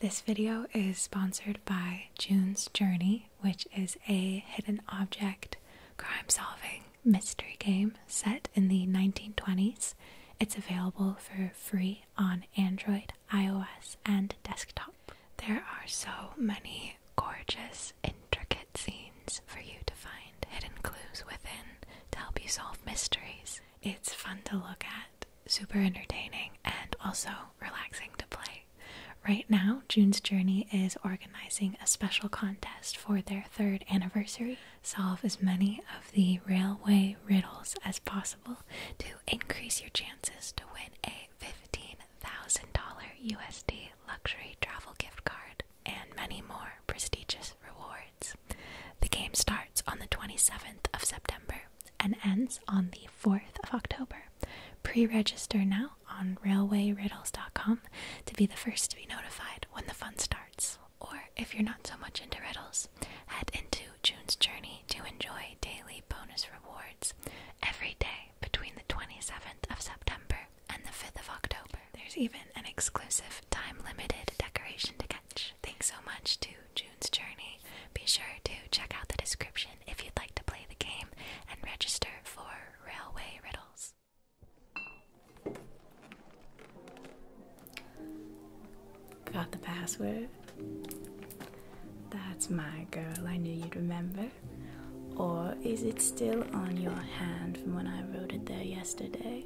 This video is sponsored by June's Journey, which is a hidden object crime solving mystery game set in the 1920s. It's available for free on Android, iOS, and desktop. There are so many gorgeous, intricate scenes for you to find hidden clues within to help you solve mysteries. It's fun to look at super entertaining and also relaxing to play. Right now, June's Journey is organizing a special contest for their third anniversary. Solve as many of the railway riddles as possible to increase your chances to win a $15,000 USD luxury travel gift card and many more prestigious rewards. The game starts on the 27th of September and ends on the 4th of October. Pre register now on railwayriddles.com to be the first to be notified when the fun starts. Or if you're not so much into riddles, head into June's Journey to enjoy daily bonus rewards every day between the 27th of September and the 5th of October. There's even an exclusive time limited decoration to catch. Thanks so much to June. Journey, be sure to check out the description if you'd like to play the game and register for Railway Riddles. Got the password? That's my girl, I knew you'd remember. Or is it still on your hand from when I wrote it there yesterday?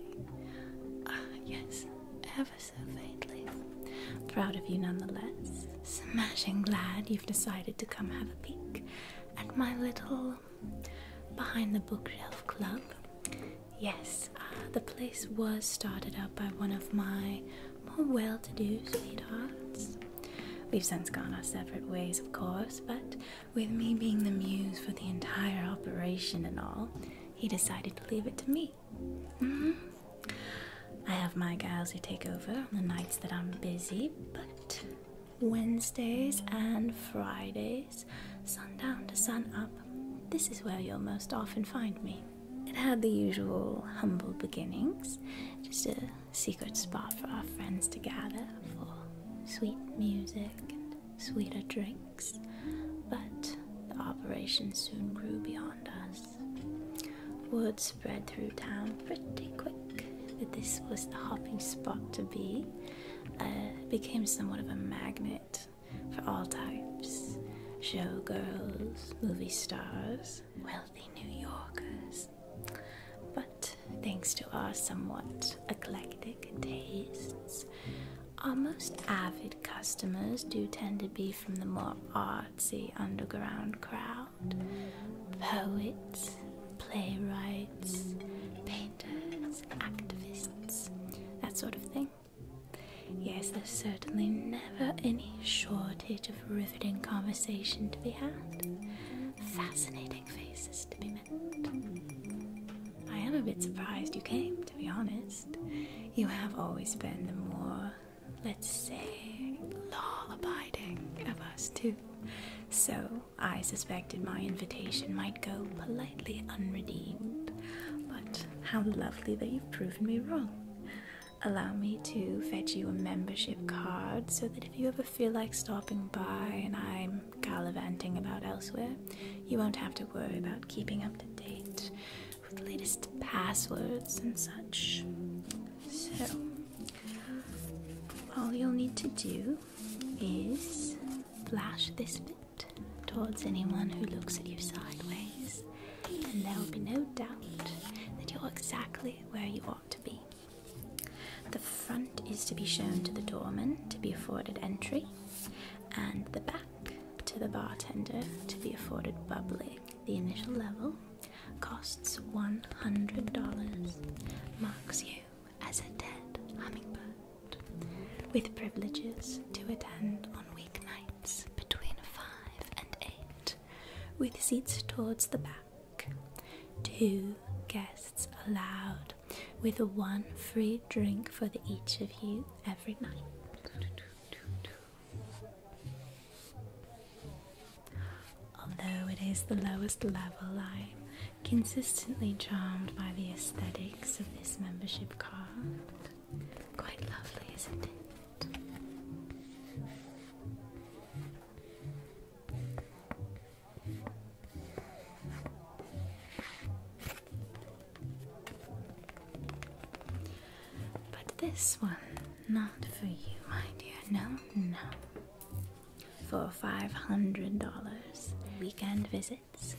Ah, yes, so faintly. Proud of you nonetheless. Smashing glad you've decided to come have a peek at my little behind the bookshelf club. Yes, uh, the place was started up by one of my more well to do sweethearts. We've since gone our separate ways, of course, but with me being the muse for the entire operation and all, he decided to leave it to me Mm-hmm. I have my guys who take over on the nights that I'm busy, but Wednesdays and Fridays, sundown to sun up, this is where you'll most often find me. It had the usual humble beginnings, just a secret spot for our friends to gather for sweet music and sweeter drinks, but the operation soon grew beyond us. Word spread through town pretty quick that this was the hopping spot to be. Uh, became somewhat of a magnet for all types showgirls, movie stars, wealthy New Yorkers. But thanks to our somewhat eclectic tastes, our most avid customers do tend to be from the more art artsy underground crowd poets, playwrights, painters, activists, that sort of thing. Yes, there's certainly never any shortage of riveting conversation to be had, fascinating faces to be met. I am a bit surprised you came, to be honest. You have always been the more let's say, law abiding of us two. So I suspected my invitation might go politely unredeemed, but how lovely that you've proven me wrong. Allow me to fetch you a membership card so that if you ever feel like stopping by and I'm gallivanting about elsewhere, you won't have to worry about keeping up to date latest passwords and such. So, all you'll need to do is flash this bit towards anyone who looks at you sideways, and there will be no doubt that you're exactly where you ought to be. The front is to be shown to the doorman to be afforded entry, and the back to the bartender to be afforded bubbling, the initial level costs $100, marks you as a dead hummingbird, with privileges to attend on weeknights between 5 and 8, with seats towards the back. Two guests allowed, with one free drink for each of you every night. Although it is the lowest level, I'm consistently charmed by the aesthetics of this membership card. Quite lovely, isn't it? But this one not for you, my dear. No, no. For $500 weekend visits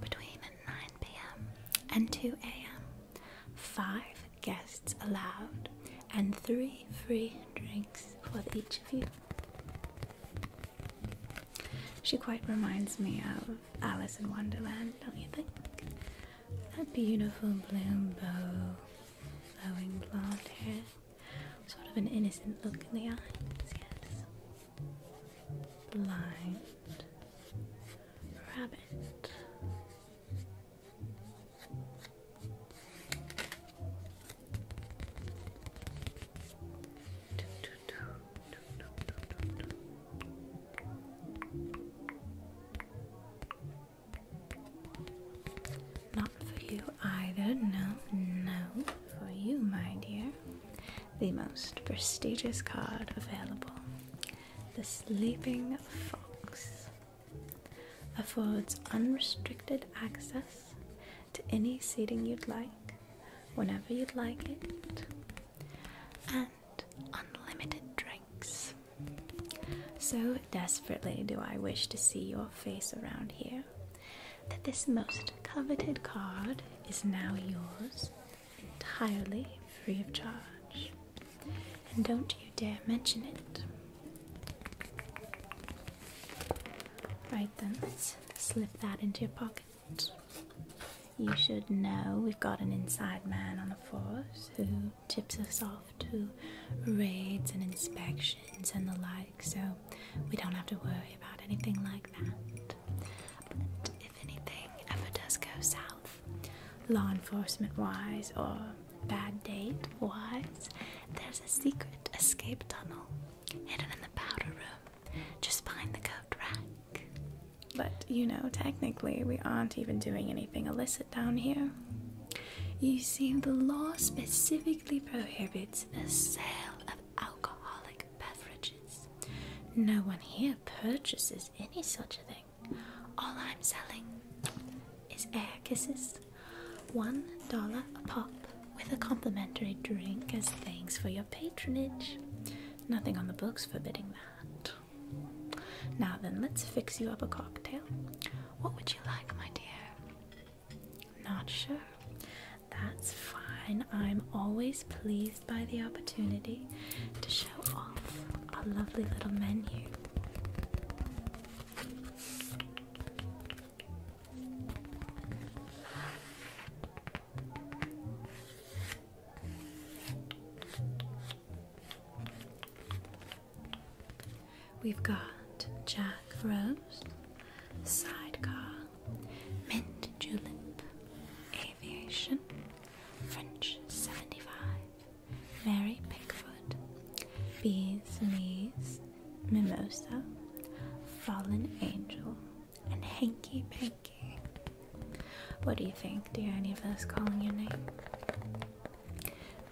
between 9 p.m. and 2 a.m., five guests allowed, and three free drinks for each of you. She quite reminds me of Alice in Wonderland, don't you think? a beautiful bloom bow, flowing blonde hair, sort of an innocent look in the eyes, yes. rabbit. Not for you either, no, no, for you, my dear. The most prestigious card available, the Sleeping Fox, affords unrestricted access to any seating you'd like, whenever you'd like it, and unlimited drinks. So desperately do I wish to see your face around here that this most coveted card is now yours entirely free of charge. And don't you dare mention it. Right then, slip that into your pocket. You should know we've got an inside man on the force who tips us off to raids and inspections and the like, so we don't have to worry about anything like that. But if anything ever does go south, law enforcement wise or bad date wise, there's a secret escape tunnel hidden in the powder room. Just behind the coat rack. But you know, technically, we aren't even doing anything illicit down here. You see, the law specifically prohibits the sale of alcoholic beverages. No one here purchases any such a thing. All I'm selling is air kisses. One dollar a pop with a complimentary drink as thanks for your patronage. Nothing on the books forbidding that. Now then, let's fix you up a cocktail. What would you like, my dear? Not sure. That's fine. I'm always pleased by the opportunity to show off our lovely little menu. We've got Jack Rose, Sidecar, Mint Julep, Aviation, French 75, Mary Pickford, Bees Knees, Mimosa, Fallen Angel, and Hanky Panky. What do you think? Do any of us calling your name?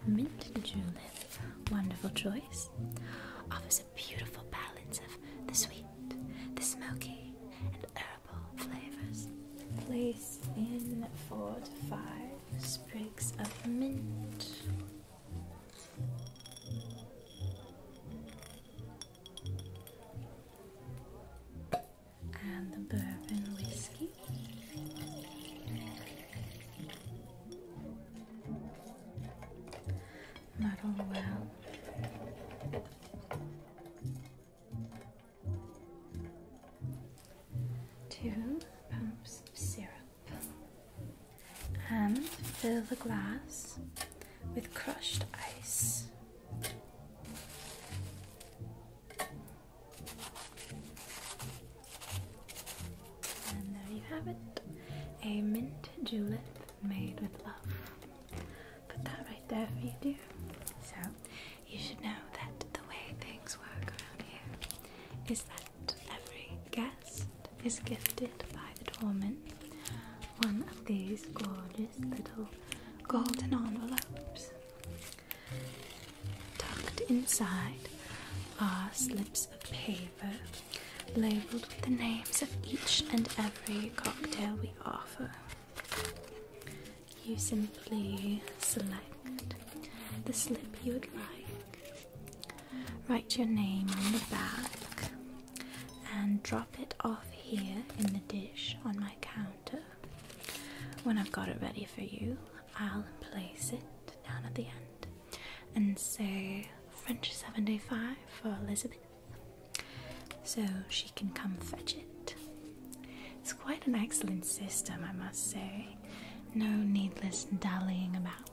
Mint julep, wonderful choice, offers a beautiful balance of the sweet, the smoky, and herbal flavors. Place in four to five sprigs of mint and the bourbon whiskey. Muddle well. Two pumps of syrup and fill the glass with crushed ice. And there you have it a mint julep made with love. Put that right there for you, So, you should know that the way things work around here is that every guest is gifted by the doorman one of these gorgeous little golden envelopes. Tucked inside are slips of paper labeled with the names of each and every cocktail we offer. You simply select the slip you would like, write your name on the back, and drop it off here in the dish on my counter. When I've got it ready for you, I'll place it down at the end and say French 75 for Elizabeth so she can come fetch it. It's quite an excellent system, I must say. No needless dallying about.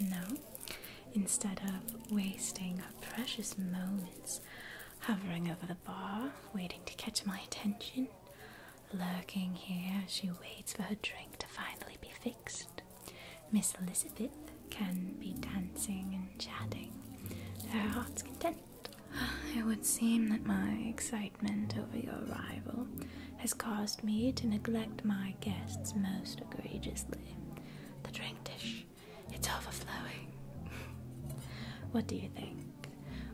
No. Instead of wasting precious moments hovering over the bar, waiting to catch my attention, Lurking here, she waits for her drink to finally be fixed. Miss Elizabeth can be dancing and chatting, her heart's content. It would seem that my excitement over your arrival has caused me to neglect my guests most egregiously. The drink dish, it's overflowing. what do you think?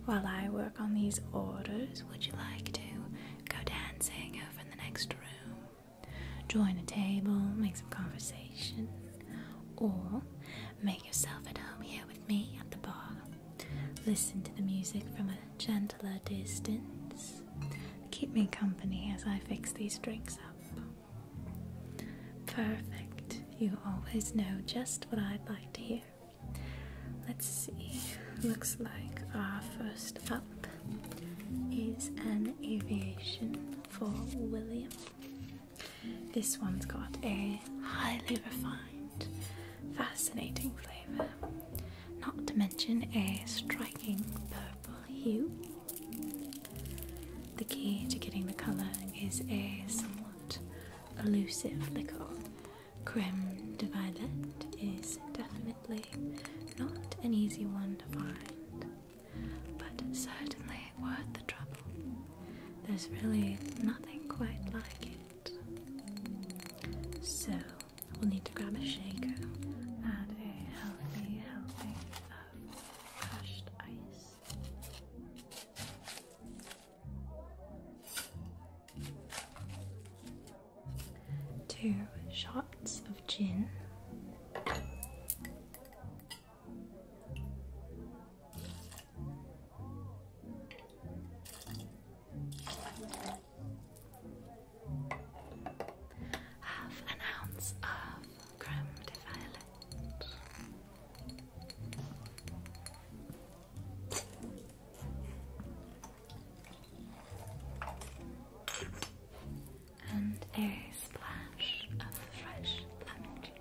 While I work on these orders, would you like to go dancing over in the next room? Join a table, make some conversation, or make yourself at home here with me at the bar. Listen to the music from a gentler distance. Keep me company as I fix these drinks up. Perfect. You always know just what I'd like to hear. Let's see. Looks like our first up is an aviation for William. This one's got a highly refined, fascinating flavour, not to mention a striking purple hue. The key to getting the colour is a somewhat elusive liqueur Creme de Violet is definitely not an easy one to find, but certainly worth the trouble. There's really nothing quite like it. So, we'll need to grab a shaker, add a healthy helping of um, crushed ice. Two shots of gin. Half an ounce of creme de violet and a splash of fresh lemon juice.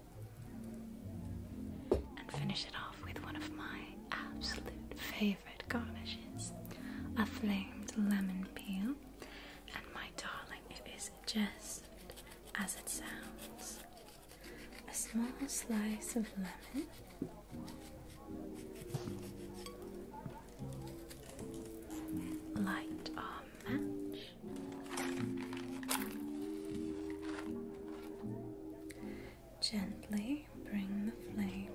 And finish it off with one of my absolute favorite garnishes a flamed lemon peel. And my darling, it is just as it sounds a small slice of lemon. Light our match Gently bring the flame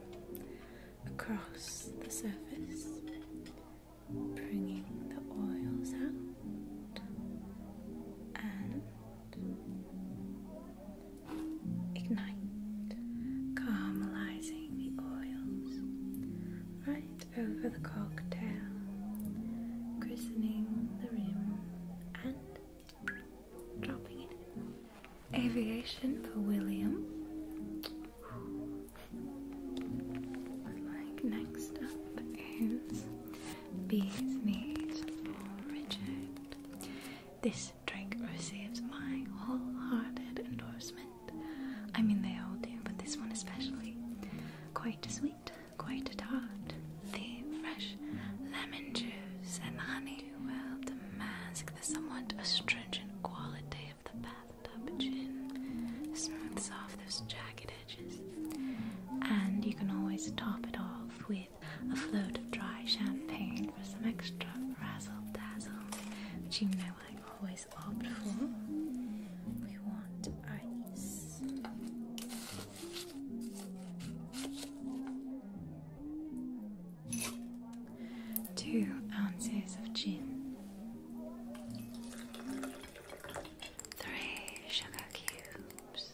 across the surface, bringing the oils out and ignite, caramelizing the oils right over the cocktail, christening the rim and dropping it in. Aviation for William. next up is Bees Knees for Richard. This drink receives my wholehearted endorsement. I mean, they all do, but this one especially. Quite sweet, quite a tart. The fresh lemon juice and honey do well to mask the somewhat astringent quality of the bathtub gin. Smooths off those jagged edges. And you can always top it off with a float of dry champagne for some extra razzle dazzle, which you know I always opt for. We want ice. Two ounces of gin, three sugar cubes,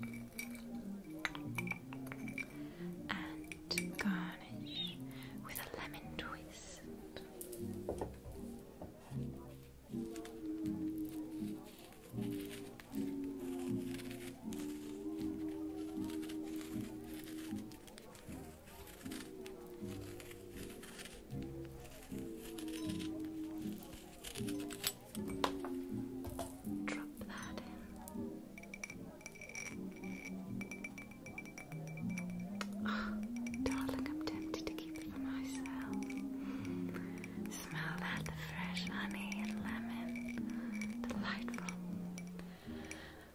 and garnish with a lemon twist darling, I'm tempted to keep it for myself. Smell that the fresh honey and lemon. Delightful.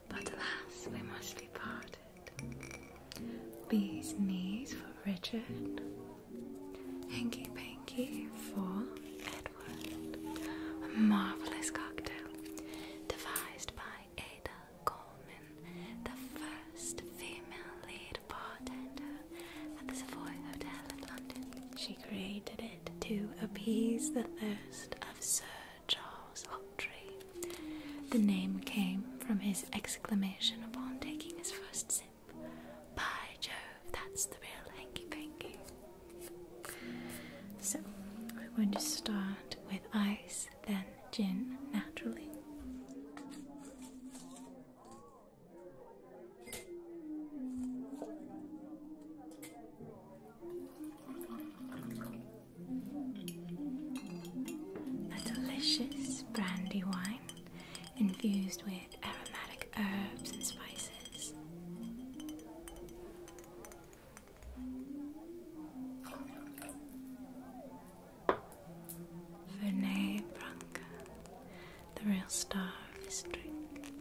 But alas, we must be parted. Bees' knees for Richard, Hanky Panky for Edward. A marvelous cocktail devised by Ada Coleman, the first female lead bartender at the Savoy Hotel in London. She created it to appease the thirst of Sir Charles Hawtrey. The name came from his exclamation upon taking his first sip. By Jove, that's the real hanky panky. So, we're going to start with ice, then gin naturally. A delicious brandy wine infused with aromatic herbs and spices. Vernay the real star of this drink,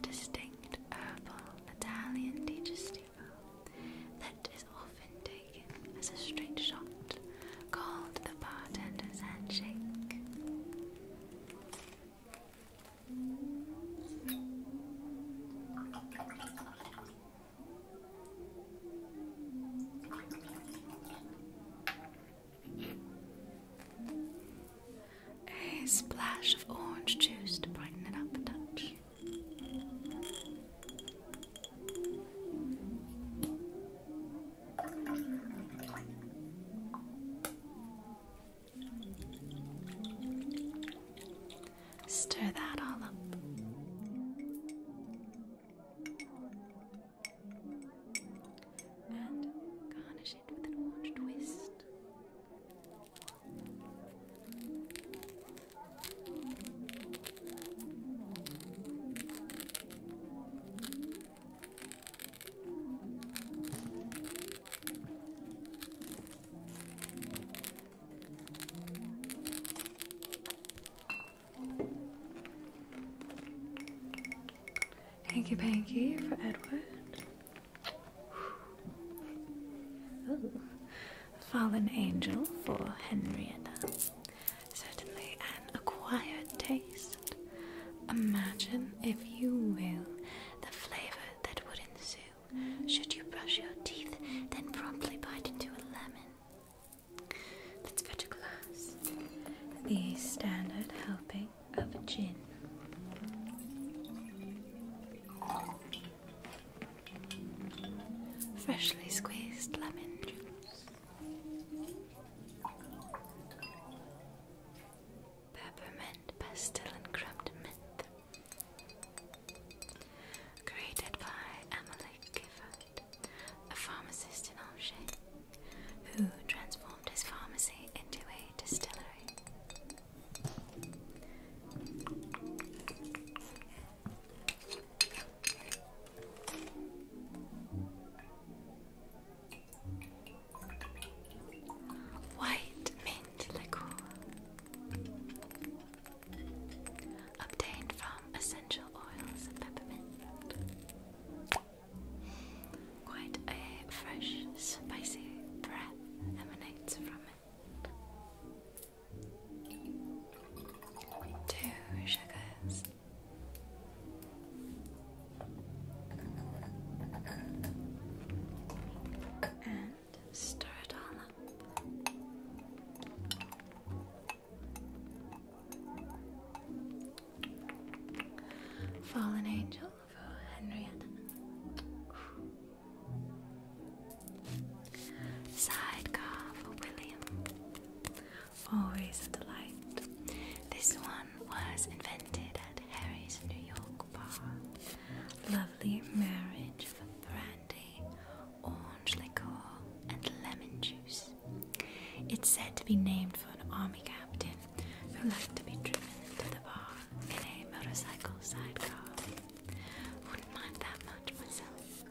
distinct herbal Italian digestivo that is often taken as a straight shot, called the bartender's handshake. A splash of orange juice to brighten it up a touch. Stir that all up. And garnish it with an orange twist. Hanky Panky for Edward. Fallen Angel for Henrietta. Certainly acquired taste. Imagine, if you will, the flavor that would ensue should you brush your teeth, then promptly bite into a lemon. Let's fetch a glass. The standard helping of gin. Freshly squeezed lemon juice peppermint, pastel, and crumbed mint. Created by Emily Gifford, a pharmacist in Angers, who transformed his pharmacy into a distillery. White mint liqueur. Obtained from essential oils of peppermint. Quite a fresh, spicy breath emanates from it. Two sugars and stir it all Fallen Angel for Henrietta. Sidecar for William. Always a delight. This one was invented at Harry's New York bar. Lovely marriage of brandy, orange liqueur, and lemon juice. It's said to be named for an army captain who liked to be driven into the bar in a motorcycle sidecar. Wouldn't mind that much myself.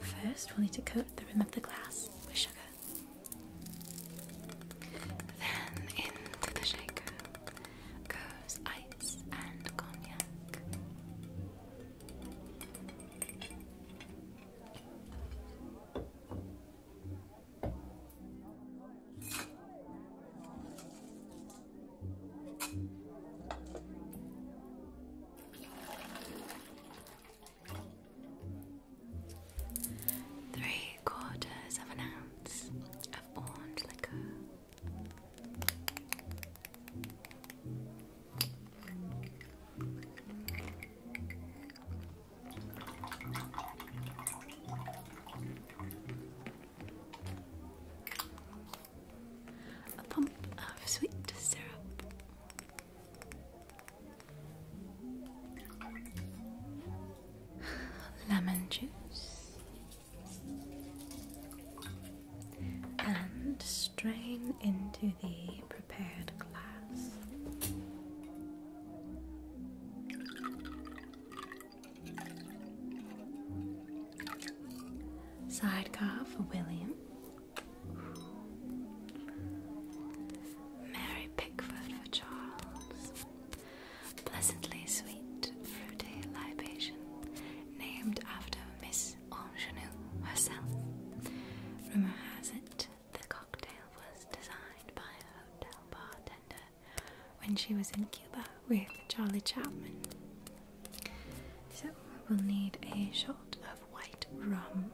First, we'll need to coat the rim of the glass with sugar. Then into the shaker goes ice and cognac. Three quarters of an ounce of orange liquor. A pump of sweet syrup lemon juice and strain into the prepared glass. Sidecar for William. Mary Pickford for Charles. Pleasantly sweet, fruity libation, named after Miss Ingenue herself. Rumour has it the cocktail was designed by a hotel bartender when she was in Cuba with Charlie Chapman. So we'll need a shot of white rum.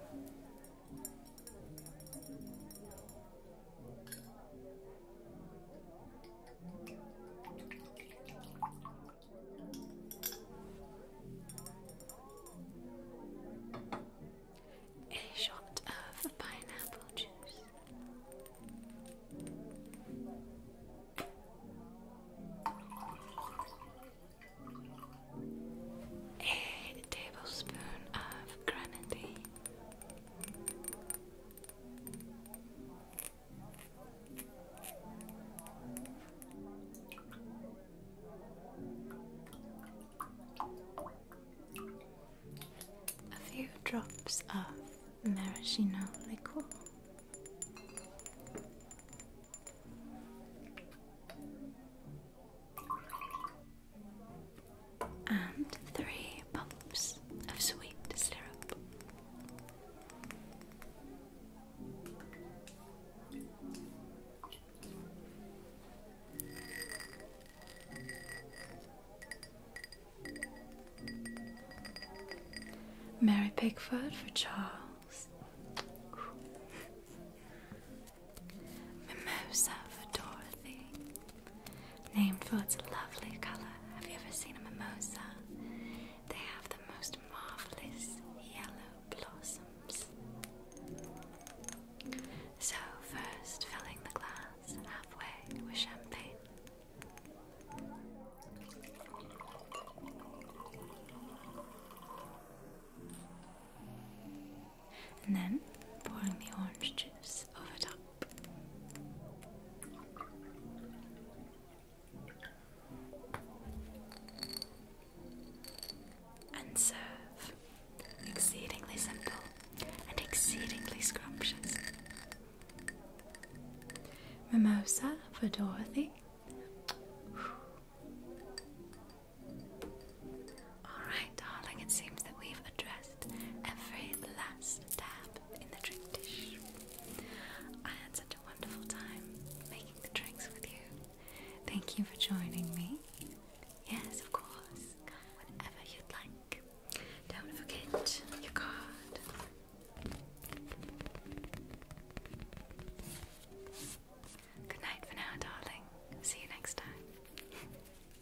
A shot of pineapple juice. A tablespoon of granadine. A few drops of maraschino liqueur and three pumps of sweet syrup. Mary Pickford for Charles. Mimosa for Dorothy. Named for its lovely color. Have you ever seen a mimosa? They have the most marvelous yellow blossoms. So, first filling the glass halfway with champagne and then pouring the orange juice over top. And serve. Exceedingly simple and exceedingly scrumptious. Mimosa for Dorothy. Alright, darling, it seems that we've addressed every last tab in the trick dish. I had such a wonderful time making the tricks with you. Thank you for joining me. Yes, of course, whenever you'd like. Don't forget your card. Good night for now, darling. See you next time.